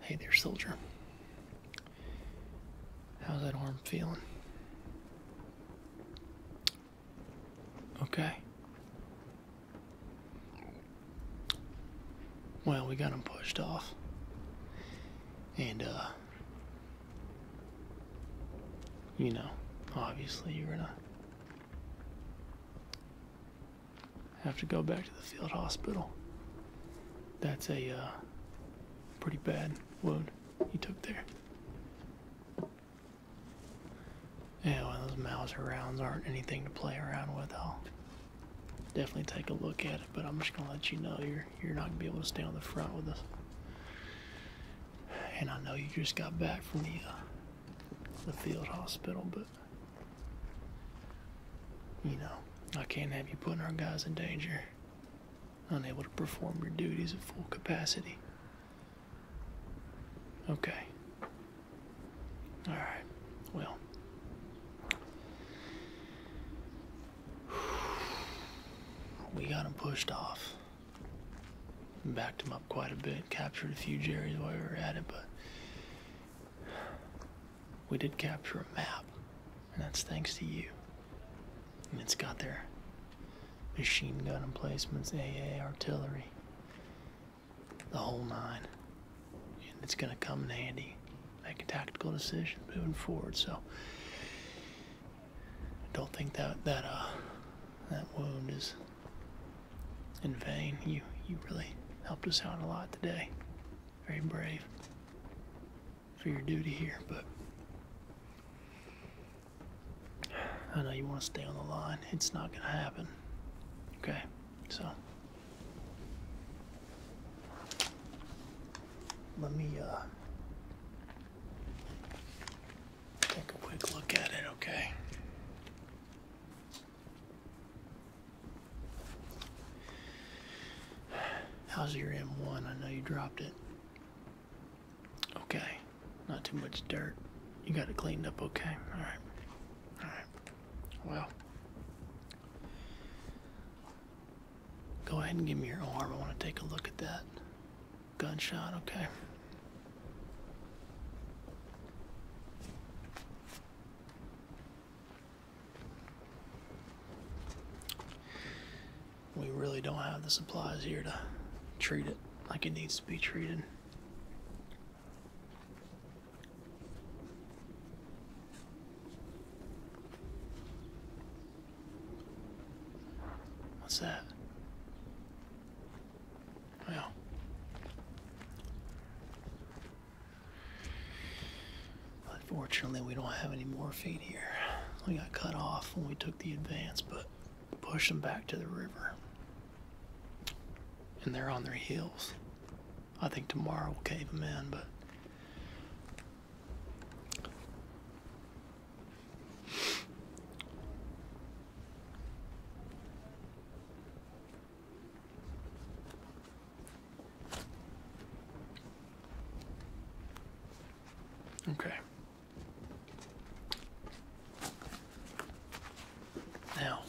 Hey there, soldier. How's that arm feeling? Okay. Well, we got him pushed off. And, uh, you know, obviously you're not have to go back to the field hospital. That's a uh, pretty bad wound he took there. Yeah, those Mauser rounds aren't anything to play around with. I'll definitely take a look at it, but I'm just gonna let you know you're you're not gonna be able to stay on the front with us. And I know you just got back from the uh, the field hospital, but you know, I can't have you putting our guys in danger, unable to perform your duties at full capacity. Okay. Alright, well. We got them pushed off. Backed them up quite a bit, captured a few Jerry's while we were at it, but we did capture a map, and that's thanks to you. And it's got their machine gun emplacements, AA artillery, the whole nine. And it's going to come in handy. Make a tactical decision moving forward. So I don't think that that uh that wound is in vain. You you really helped us out a lot today. Very brave for your duty here, but I know you want to stay on the line. It's not gonna happen. Okay, so let me uh, take a quick look at it. Okay. How's your M1? I know you dropped it. Okay. Not too much dirt. You got it cleaned up okay. Alright. Alright. Well. Go ahead and give me your arm. I want to take a look at that gunshot, okay? We really don't have the supplies here to treat it like it needs to be treated. What's that? Well, Unfortunately, we don't have any morphine here. We got cut off when we took the advance, but pushed them back to the river. And they're on their heels. I think tomorrow we will cave them in, but Okay. Now,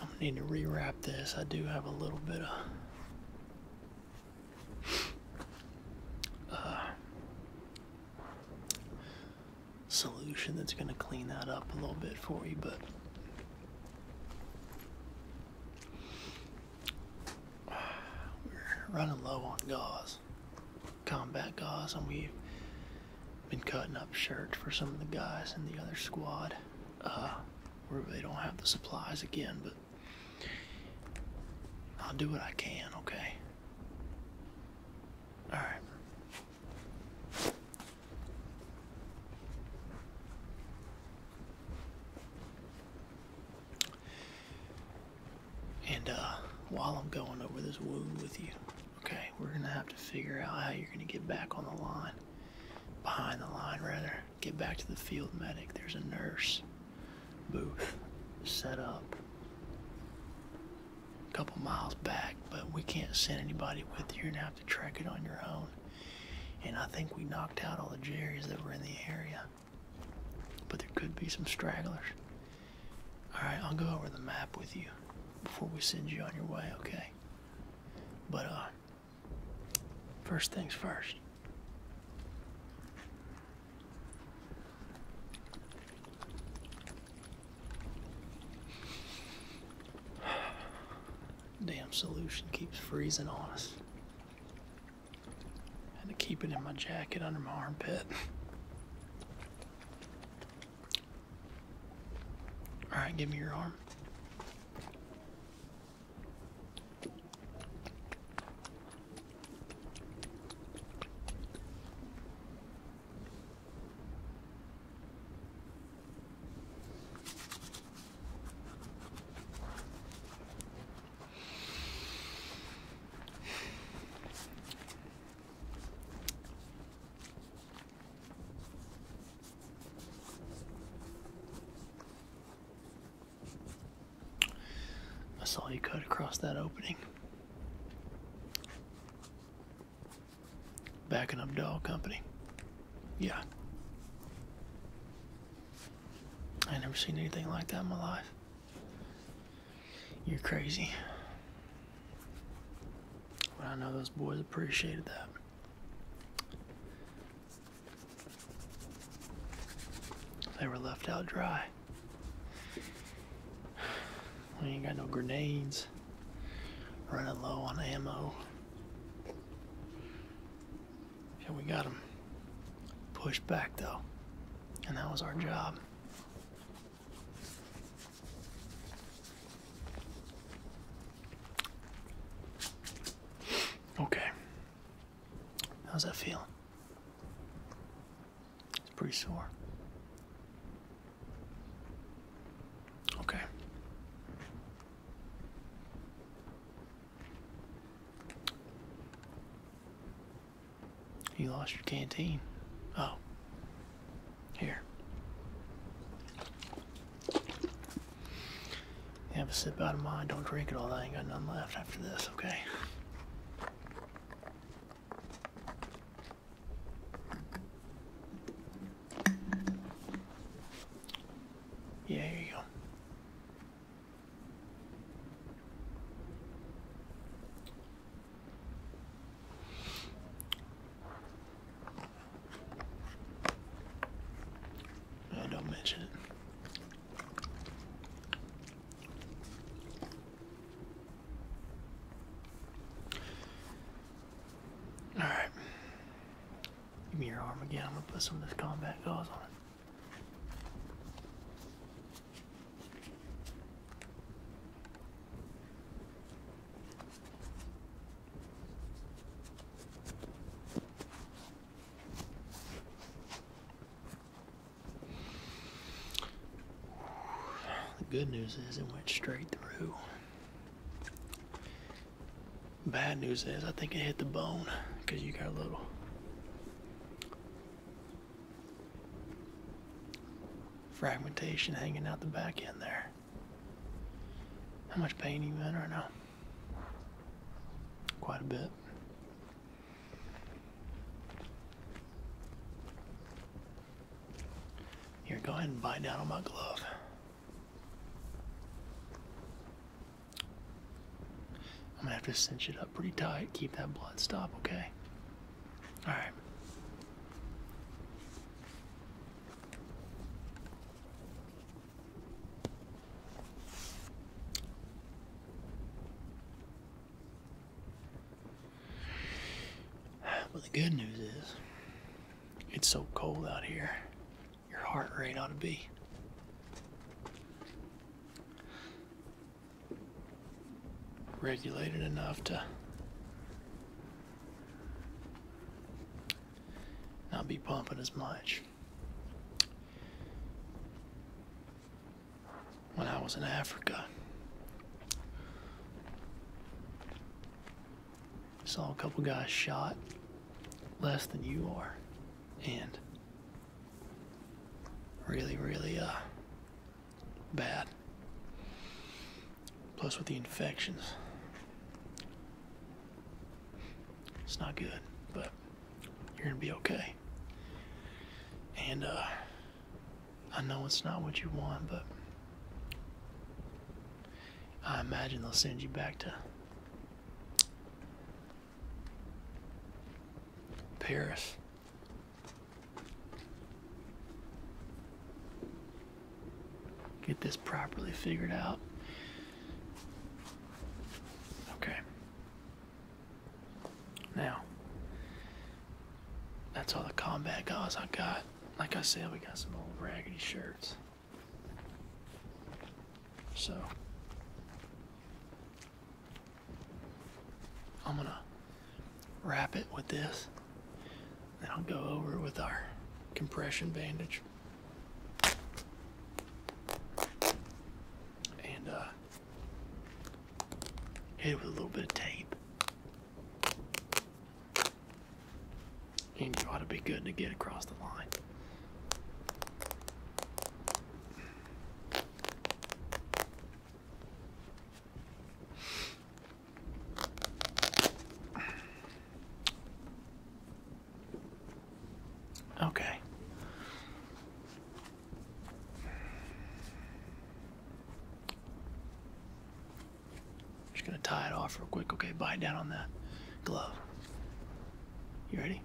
I'm gonna need to rewrap this. I do have a little bit of uh, solution that's going to clean that up a little bit for you, but we're running low on gauze, combat gauze, and we've been cutting up shirts for some of the guys in the other squad. Uh, we don't have the supplies again, but I'll do what I can, okay? Alright. And uh, while I'm going over this wound with you, okay, we're going to have to figure out how you're going to get back on the line, behind the line rather, get back to the field medic. There's a nurse booth set up a couple miles back, but we can't send anybody with you. you have to track it on your own. And I think we knocked out all the Jerry's that were in the area. But there could be some stragglers. Alright, I'll go over the map with you before we send you on your way, okay? But, uh, first things first. Damn solution keeps freezing on us. Had to keep it in my jacket under my armpit. Alright, give me your arm. I saw you cut across that opening. Backing up doll company. Yeah. I never seen anything like that in my life. You're crazy. But I know those boys appreciated that. They were left out dry. We ain't got no grenades. Running low on ammo. Yeah, we got them pushed back though. And that was our job. Okay. How's that feel? It's pretty sore. Okay. You lost your canteen. Oh. Here. have a sip out of mine. Don't drink it all. I ain't got none left after this, okay? Yeah, here you go. No, uh, don't mention it. Alright. Give me your arm again. I'm going to put some of this combat gauze on it. The good news is it went straight through. Bad news is, I think it hit the bone because you got a little. Fragmentation hanging out the back end there. How much pain are you in right now? Quite a bit. You're going and bite down on my glove. I'm gonna have to cinch it up pretty tight, keep that blood stop, okay? Alright. But the good news is, it's so cold out here, your heart rate ought to be. Regulated enough to not be pumping as much. When I was in Africa, Saw a couple guys shot less than you are. And really, really uh, bad. Plus, with the infections, it's not good, but you're gonna be okay. And uh, I know it's not what you want, but I imagine they'll send you back to Paris. Get this properly figured out. Okay. Now, that's all the combat guys I got like I said, we got some old raggedy shirts. So I'm gonna wrap it with this, and I'll go over with our compression bandage. And uh, hit it with a little bit of tape. And you ought to be good to get across the line. Okay. Just gonna tie it off real quick. Okay, bite down on that glove. You ready?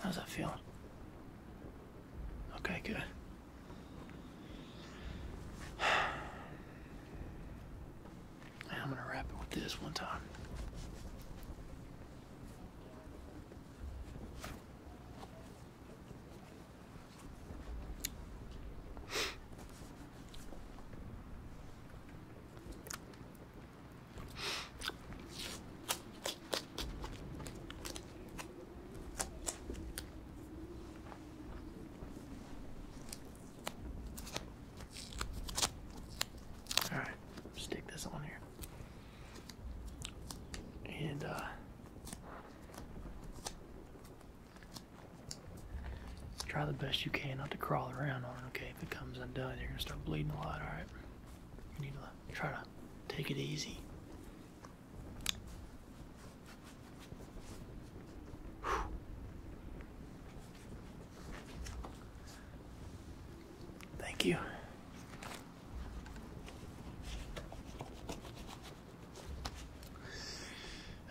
How's that feeling? Okay, good. I'm gonna wrap it with this one time. All right, stick this on here. And uh, try the best you can not to crawl around on it, okay? If it comes undone, you're gonna start bleeding a lot, alright? You need to try to take it easy. Thank you.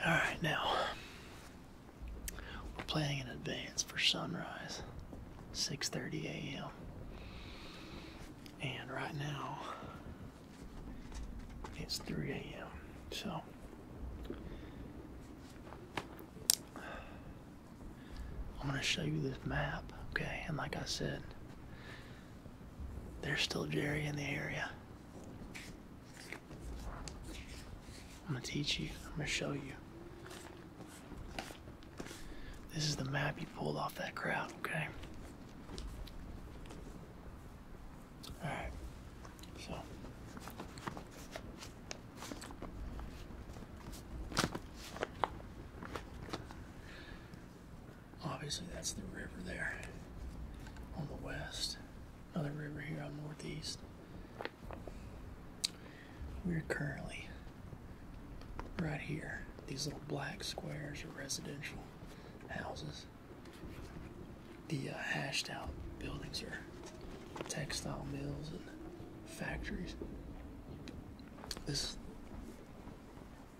Alright, now we're planning in advance for sunrise, 6:30 a.m. And right now it's 3 a.m. So I'm going to show you this map, okay? And like I said, there's still Jerry in the area. I'm going to teach you. I'm going to show you. This is the map you pulled off that crowd, okay? Alright. Obviously, that's the river there on the west. Another river here on the northeast. We're currently right here. These little black squares are residential houses. The uh, hashed out buildings are textile mills and factories. This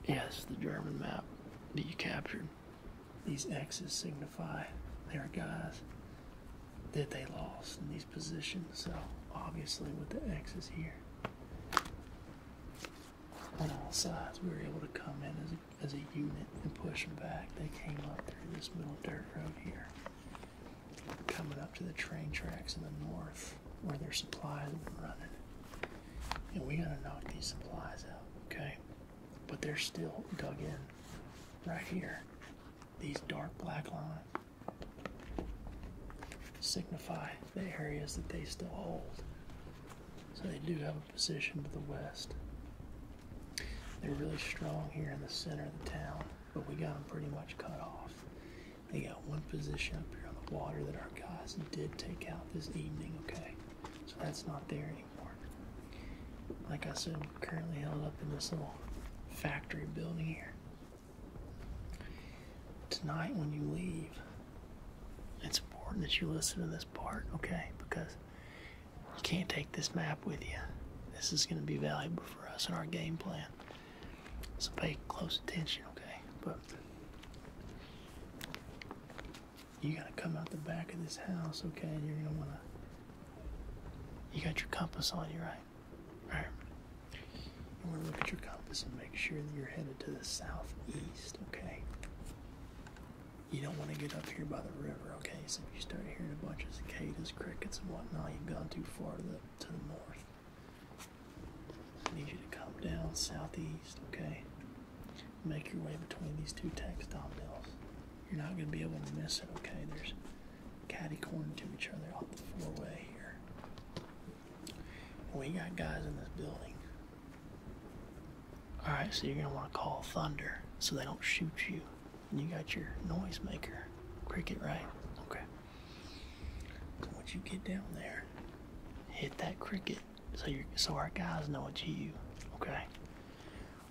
Yes, the German map that you captured. These X's signify their guys that they lost in these positions. So obviously with the X's here on all sides we were able to come in as a, unit and push them back. They came up through this little dirt road here coming up to the train tracks in the north where their supplies were running. And we gotta knock these supplies out, okay? But they're still dug in right here. These dark black lines signify the areas that they still hold. So they do have a position to the west. They're really strong here in the center of the town, but we got them pretty much cut off. They got one position up here on the water that our guys did take out this evening, okay? So that's not there anymore. Like I said, we're currently held up in this little factory building here. Tonight when you leave, it's important that you listen to this part, okay? Because you can't take this map with you. This is going to be valuable for us in our game plan. So pay close attention, okay? But you gotta come out the back of this house, okay? you're gonna wanna. You got your compass on you, right? Right. You wanna look at your compass and make sure that you're headed to the southeast, okay? You don't wanna get up here by the river, okay? So if you start hearing a bunch of cicadas, crickets, and whatnot, you've gone too far to the north. I need you to come down southeast, okay? Make your way between these two textile mills. You're not going to be able to miss it, okay? There's catty corner to each other off the four-way here. we got guys in this building. Alright, so you're going to want to call thunder so they don't shoot you. And you got your noisemaker, cricket, right? Okay. Once you get down there, hit that cricket so you so our guys know it's you. Okay.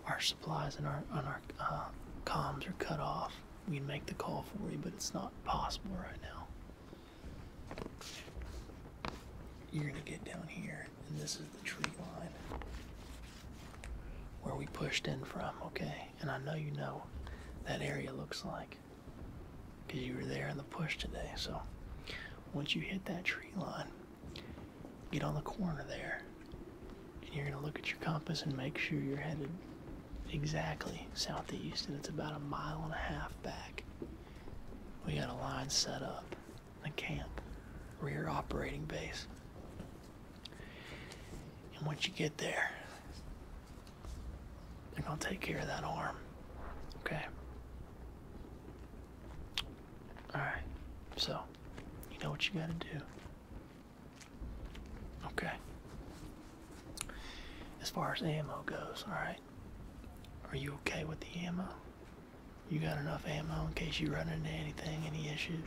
Our supplies and our on our uh, comms are cut off. We can make the call for you, but it's not possible right now. You're gonna get down here, and this is the tree line where we pushed in from. Okay. And I know you know that area looks like because you were there in the push today. So once you hit that tree line, get on the corner there, and you're going to look at your compass and make sure you're headed exactly southeast, and it's about a mile and a half back. We got a line set up, the camp, rear operating base. And once you get there, I'm gonna take care of that arm. Okay. Alright, so you know what you gotta do. Okay. As far as ammo goes, alright. Are you okay with the ammo? You got enough ammo in case you run into anything, any issues?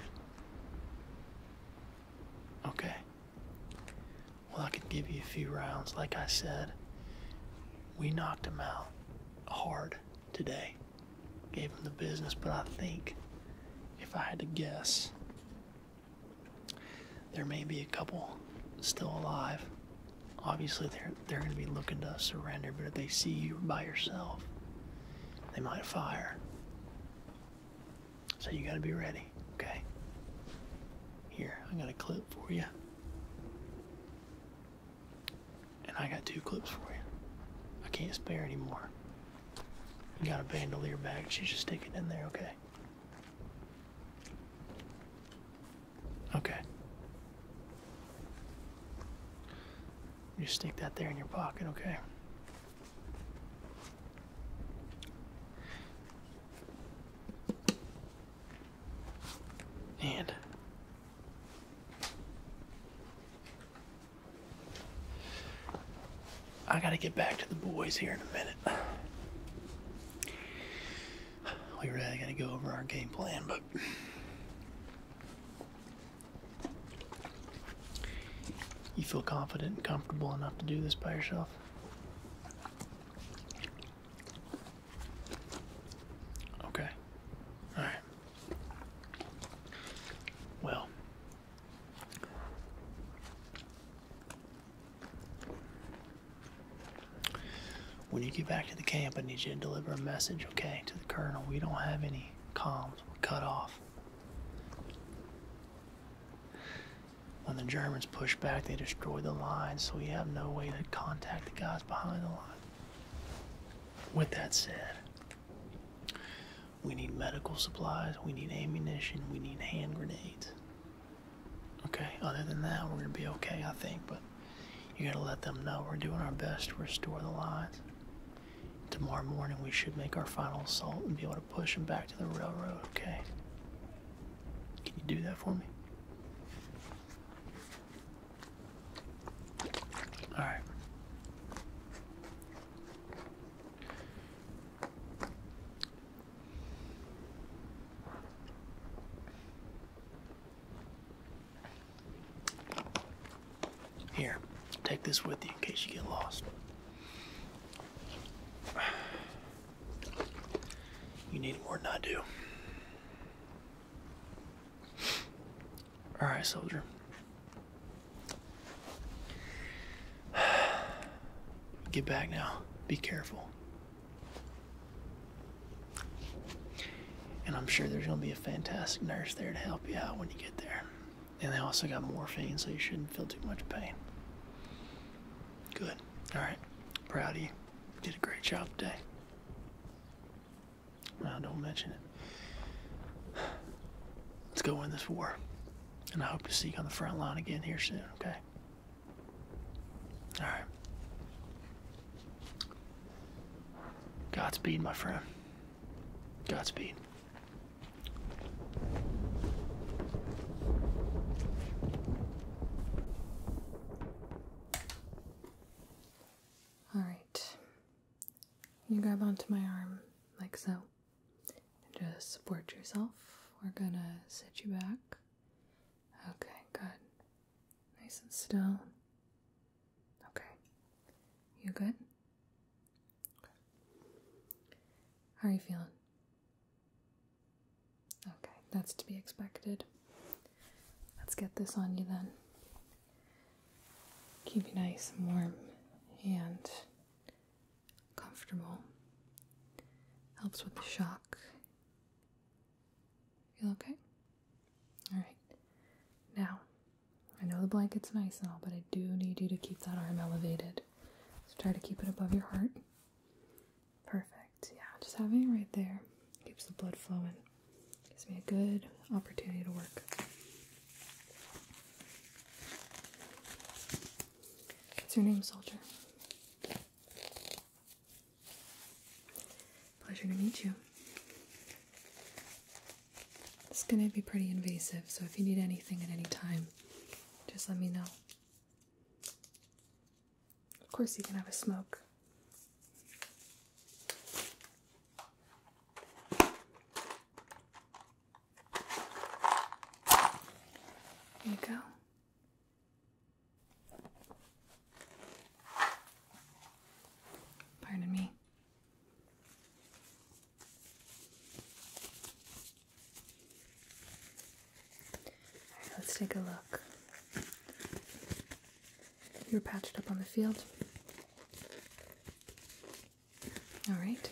Okay, well, I could give you a few rounds. Like I said, we knocked him out hard today. Gave him the business, but I think, if I had to guess, there may be a couple still alive. Obviously, they're, they're going to be looking to surrender, but if they see you by yourself, they might fire. So you got to be ready, okay? Here, I got a clip for you. And I got two clips for you. I can't spare anymore. You got a bandolier bag, she should stick it in there, okay? Okay. You stick that there in your pocket, okay? And I gotta get back to the boys here in a minute. We are really going to go over our game plan, but you feel confident and comfortable enough to do this by yourself? Okay. All right. Well. When you get back to the camp, I need you to deliver a message, okay, to the colonel. We don't have any comms. We're cut off. When the Germans push back, they destroy the line, so we have no way to contact the guys behind the line. With that said, we need medical supplies, we need ammunition, we need hand grenades. Okay, other than that, we're going to be okay, I think, but you got to let them know we're doing our best to restore the lines. Tomorrow morning, we should make our final assault and be able to push them back to the railroad, okay? Can you do that for me? All right. Here, take this with you in case you get lost. You need more than I do. Alright, soldier. Get back now. Be careful. And I'm sure there's going to be a fantastic nurse there to help you out when you get there. And they also got morphine, so you shouldn't feel too much pain. Good. All right. Proud of you did a great job today. Now, don't mention it. Let's go win this war. And I hope to see you on the front line again here soon, okay? All right. Godspeed, my friend. Godspeed. All right. You grab onto my arm like so. just support yourself. We're gonna sit you back. Okay, good. Nice and still. Okay. You good? How are you feeling? Okay, that's to be expected. Let's get this on you then. Keep you nice and warm and comfortable. Helps with the shock. You're okay? Alright. Now, I know the blanket's nice and all, but I do need you to keep that arm elevated. So try to keep it above your heart. Perfect. Perfect. Yeah, just having it right there keeps the blood flowing. Gives me a good opportunity to work. What's your name, soldier? Pleasure to meet you. It's gonna be pretty invasive, so if you need anything at any time, just let me know. Of course, you can have a smoke. There you go. Pardon me. Alright, let's take a look. You are patched up on the field. Alright,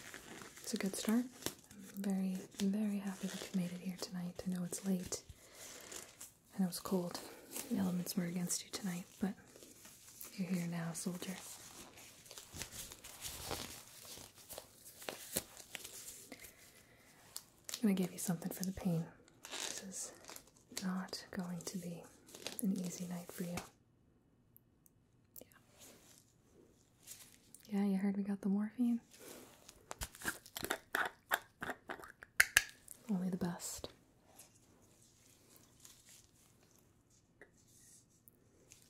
it's a good start. I'm very, very happy that you made it here tonight. I know it's late. and it was cold. The elements were against you tonight, but you're here now, soldier. I'm going to give you something for the pain. This is not going to be an easy night for you. Yeah. you heard we got the morphine? Only the best.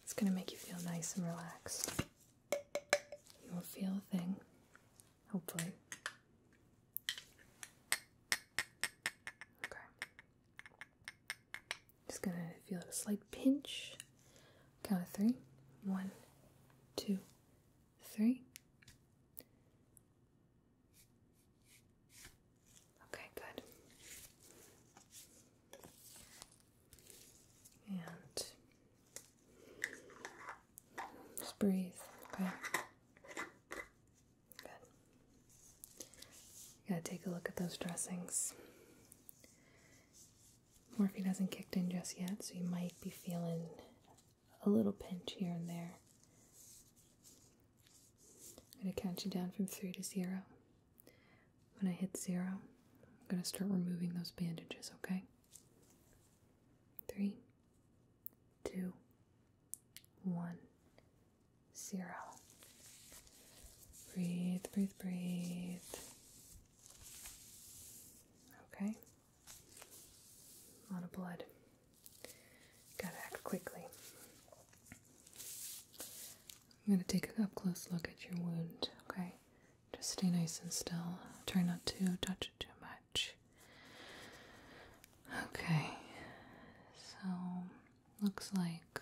It's going to make you feel nice and relaxed. You won't feel a thing hopefully. Okay. Just gonna feel a slight pinch. Count of three, one, two, three. Okay, good. And just breathe, okay? Good. gotta take a look at those dressings. Morphine hasn't kicked in just yet, so you might be feeling a little pinch here and there. I'm gonna count you down from three to zero. When I hit zero, I'm gonna start removing those bandages, okay? Three two, one, zero. Breathe, breathe, breathe. Okay. A lot of blood. Gotta act quickly. I'm gonna take an up close look at your wound, okay? Just stay nice and still. Try not to touch it too much. Okay, so looks like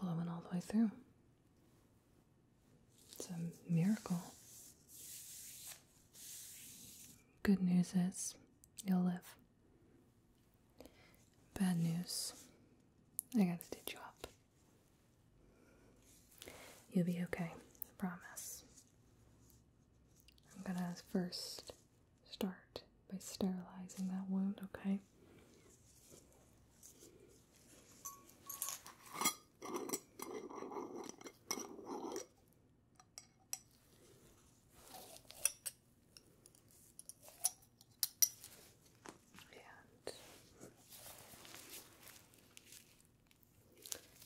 blowing all the way through. It's a miracle. Good news is you'll live. Bad news, I gotta stitch you up. You'll be okay, I promise. I'm gonna first start by sterilizing that wound, okay?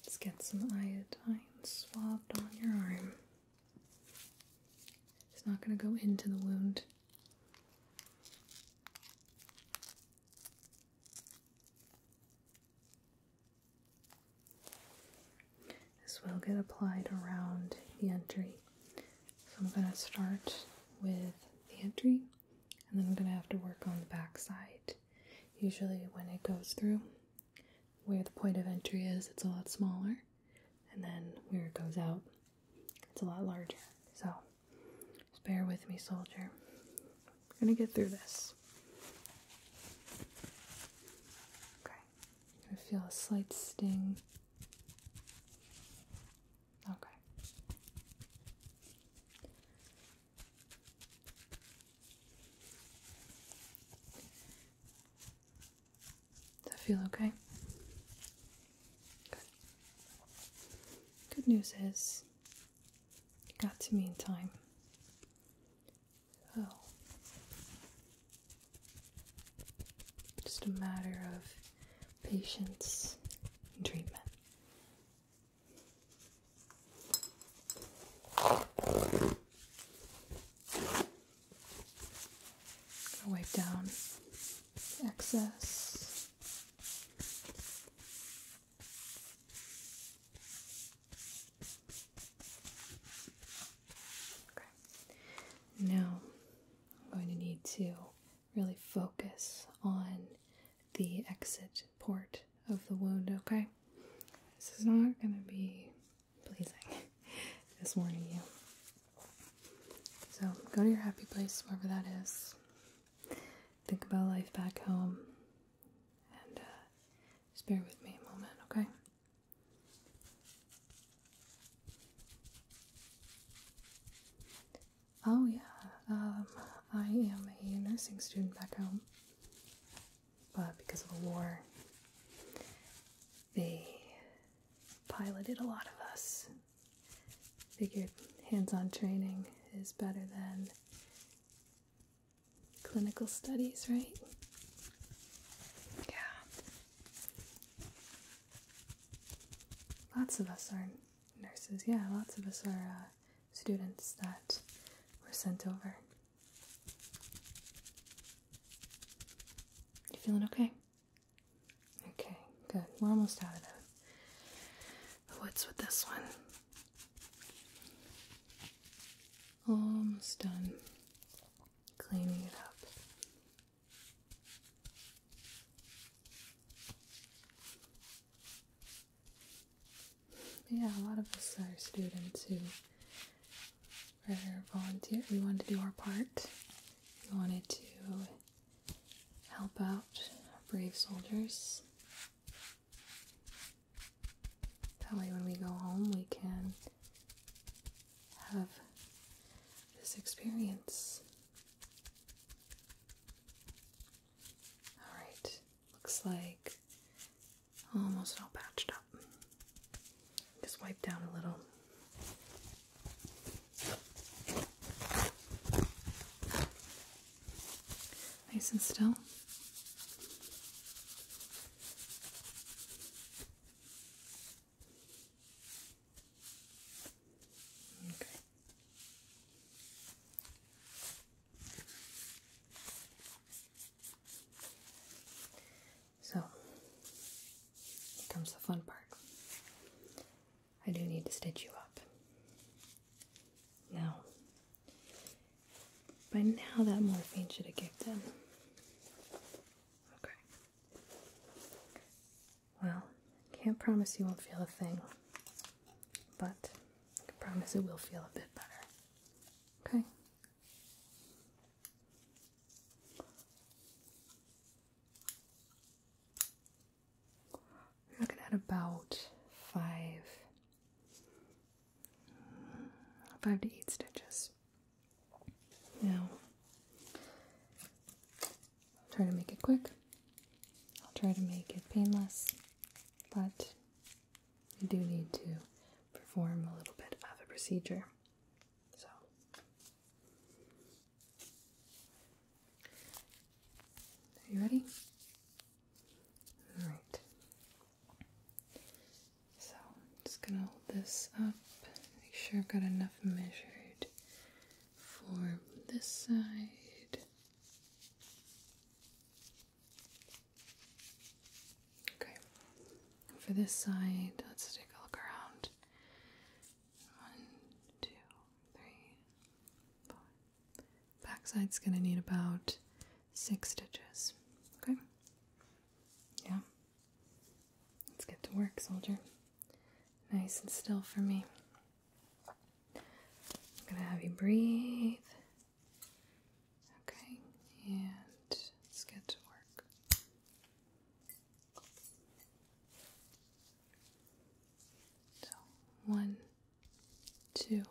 Let's get some iodine swabbed on your arm. It's not going to go into the wound. This will get applied around the entry. So I'm going to start with the entry and then I'm going to have to work on the back side. Usually, when it goes through where the point of entry is, it's a lot smaller, and then where it goes out, it's a lot larger. So, just bear with me, soldier. We're gonna get through this. Okay, I feel a slight sting. Okay. Does that feel okay? Good. Good news is you got to me in time. So just a matter of patience and treatment wipe down excess. Okay. Now I'm going to need to really focus on the exit port of the wound, okay? This is not going to be pleasing this warning you. So go to your happy place, wherever that is. Think about life back home. And uh, just bear with me a moment, okay? Oh, yeah. Um, I am a nursing student back home but because of the war, they piloted a lot of us. Figured hands on training is better than clinical studies, right? Yeah. Lots of us are nurses. Yeah, lots of us are uh, students that were sent over. You feeling okay? Okay, good. We're almost out of that. What's with this one. Almost done cleaning it up yeah, a lot of us are students who were volunteer. We wanted to do our part. We wanted to help out brave soldiers. That way, when we go home, we can have this experience. Alright, Looks like oh, almost all patched up. Just wipe down a little. Nice and still. Okay. So, here comes the fun part. I do need to stitch you up. Now, by now that morphine should have kicked in. Okay. Well, can't promise you won't feel a thing, but I promise it will feel a bit better. Okay? I'm looking at about five, five to eight stitches. Now, I'll try to make it quick. I'll try to make it painless, but I do need to perform a little bit of a procedure. So, are you ready? All right. So, just gonna hold this up, make sure I've got enough measured for this side. Okay. For this side, let's take a look around. One, two, three, four. Backside's gonna need about six stitches. Okay. Yeah. Let's get to work, soldier. Nice and still for me. I'm gonna have you breathe Okay, and let's get to work. So, one, two,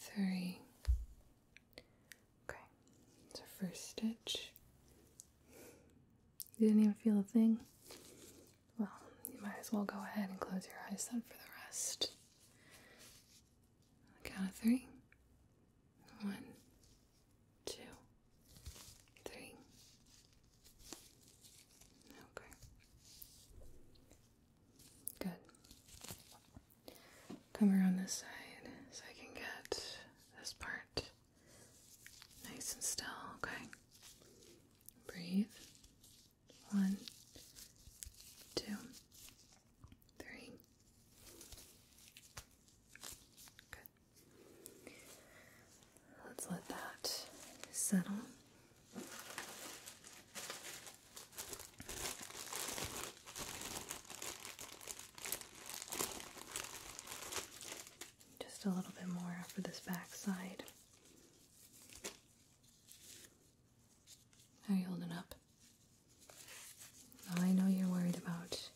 three. Okay, it's first stitch. You didn't even feel a thing? Well, you might as well go ahead and close your eyes then for the rest count of three. One, two, three. Okay. Good. Come around this side so I can get this part nice and still, okay? Breathe. One, two, three. Good. Let's let that settle. Just a little bit more for this back side. How are you holding up? I know you're worried about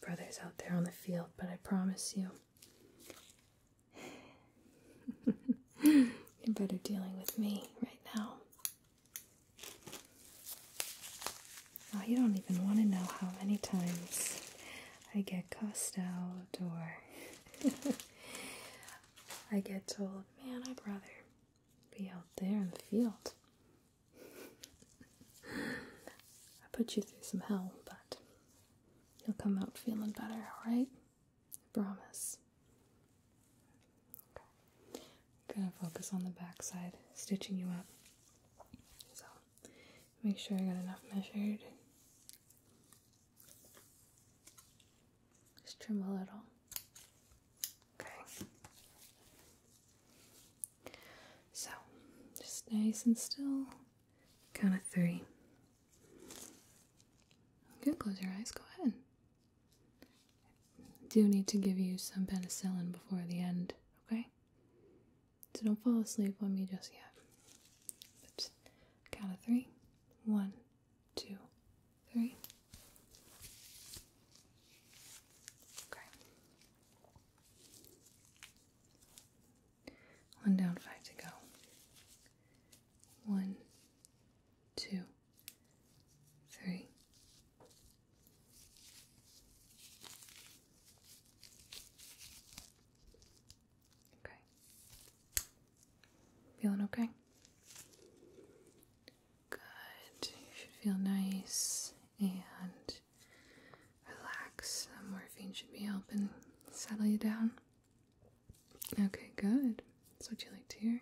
your brothers out there on the field, but I promise you, you're better dealing with me right now. you don't even want to know how many times I get cussed out or I get told, man, my brother, be out there in the field. I put you through some hell, but you'll come out feeling better, alright? I promise. Okay. gonna focus on the back side, stitching you up. So make sure I got enough measured. Just trim a little. Okay. So, just nice and still. Count of three. You can close your eyes. Go ahead. do need to give you some penicillin before the end, okay? So don't fall asleep on me just yet. But count of three. One two, three. Okay. One down, five to go. One, two, three. Okay. Feeling okay? Good. You should feel nice and relax. The morphine should be helping settle you down. Okay, good. That's what you like to hear.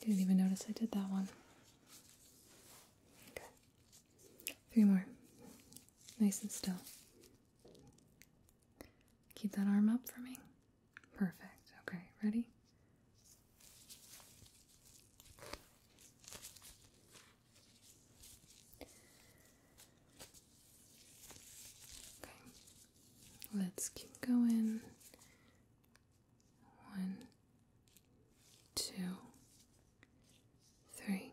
Didn't even notice I did that one. Okay. Three more. Nice and still. Keep that arm up for me. Perfect. Okay, ready? Okay, let's keep going. One, two, three,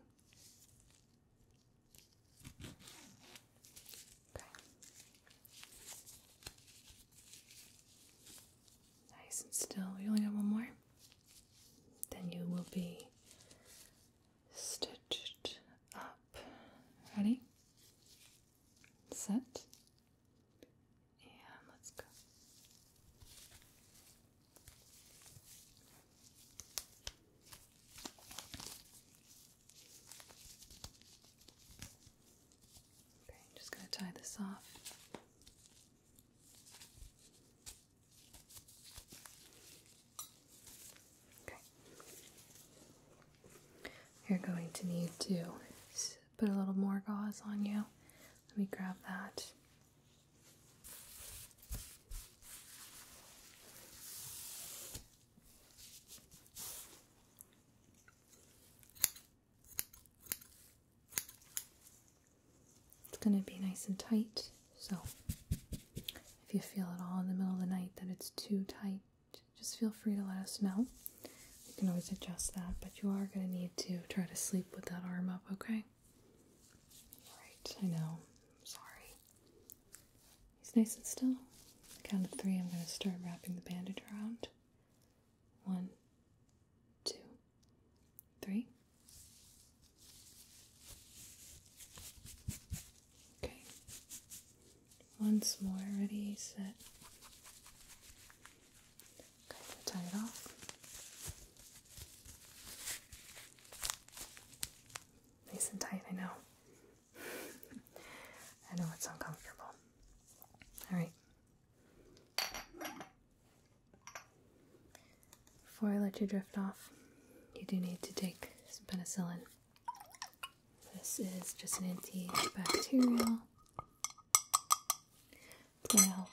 Nice and still. We only got one more. Then you will be stitched up. Ready? Set. And let's go. I'm just going to tie this off. Okay. You're going to need to put a little more gauze on you. Let me grab that. It's going to be nice and tight, so if you feel at all in the middle of the night that it's too tight, just feel free to let us know. We can always adjust that, but you are going to need to try to sleep with that arm up, okay? Alright, I know. sorry. He's nice and still. count of three, I'm going to start wrapping the bandage around. One, two, three. Okay. Once more. Ready, set. Okay, tie it off. Nice and tight, I know. I know it's uncomfortable. All right. Before I let you drift off, you do need to take some penicillin. This is just an antibacterial to help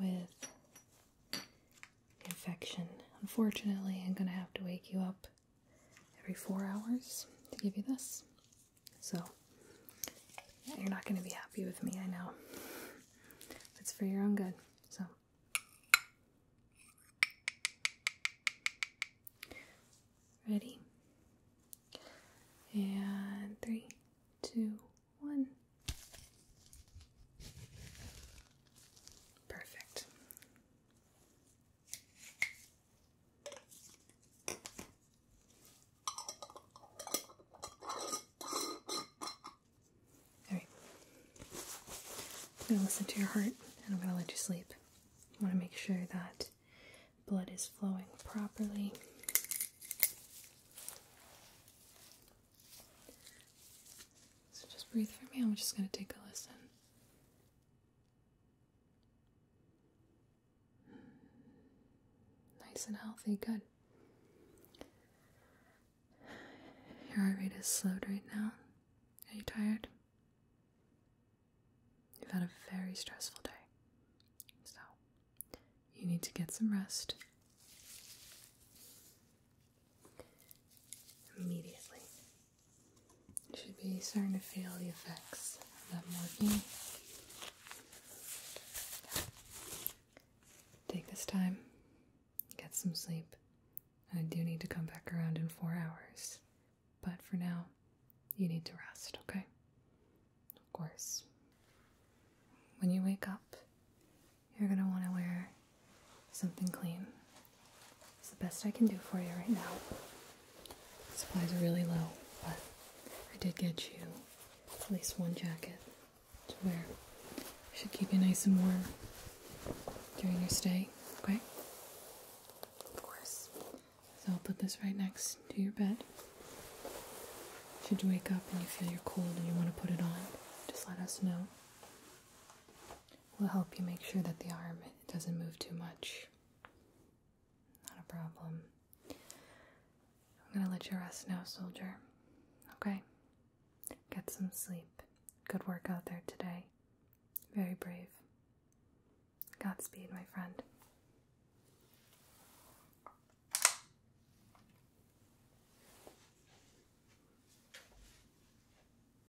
with infection. Unfortunately, I'm going to have to wake you up every four hours to give you this. So, you're not going to be happy with me, I know. It's for your own good. So, ready? And three, two, one. Perfect. All right. I'm going to listen to your heart and I'm going to let you sleep. I want to make sure that blood is flowing properly. So just breathe for me. I'm just going to take a listen. Nice and healthy, good. Your heart rate is slowed right now. Are you tired? You've had a very stressful day. So, you need to get some rest immediately. should be starting to feel the effects of that morphine. Take this time, get some sleep. I do need to come back around in four hours, but for now, you need to rest, okay? Of course. When you wake up, you're gonna want to wear something clean. It's the best I can do for you right now. Supplies are really low, but I did get you at least one jacket to wear. Should keep you nice and warm during your stay, okay? Of course. So I'll put this right next to your bed. Should you wake up and you feel you're cold and you want to put it on, just let us know will help you make sure that the arm doesn't move too much. Not a problem. I'm gonna let you rest now, soldier. Okay? Get some sleep. Good work out there today. Very brave. Godspeed, my friend.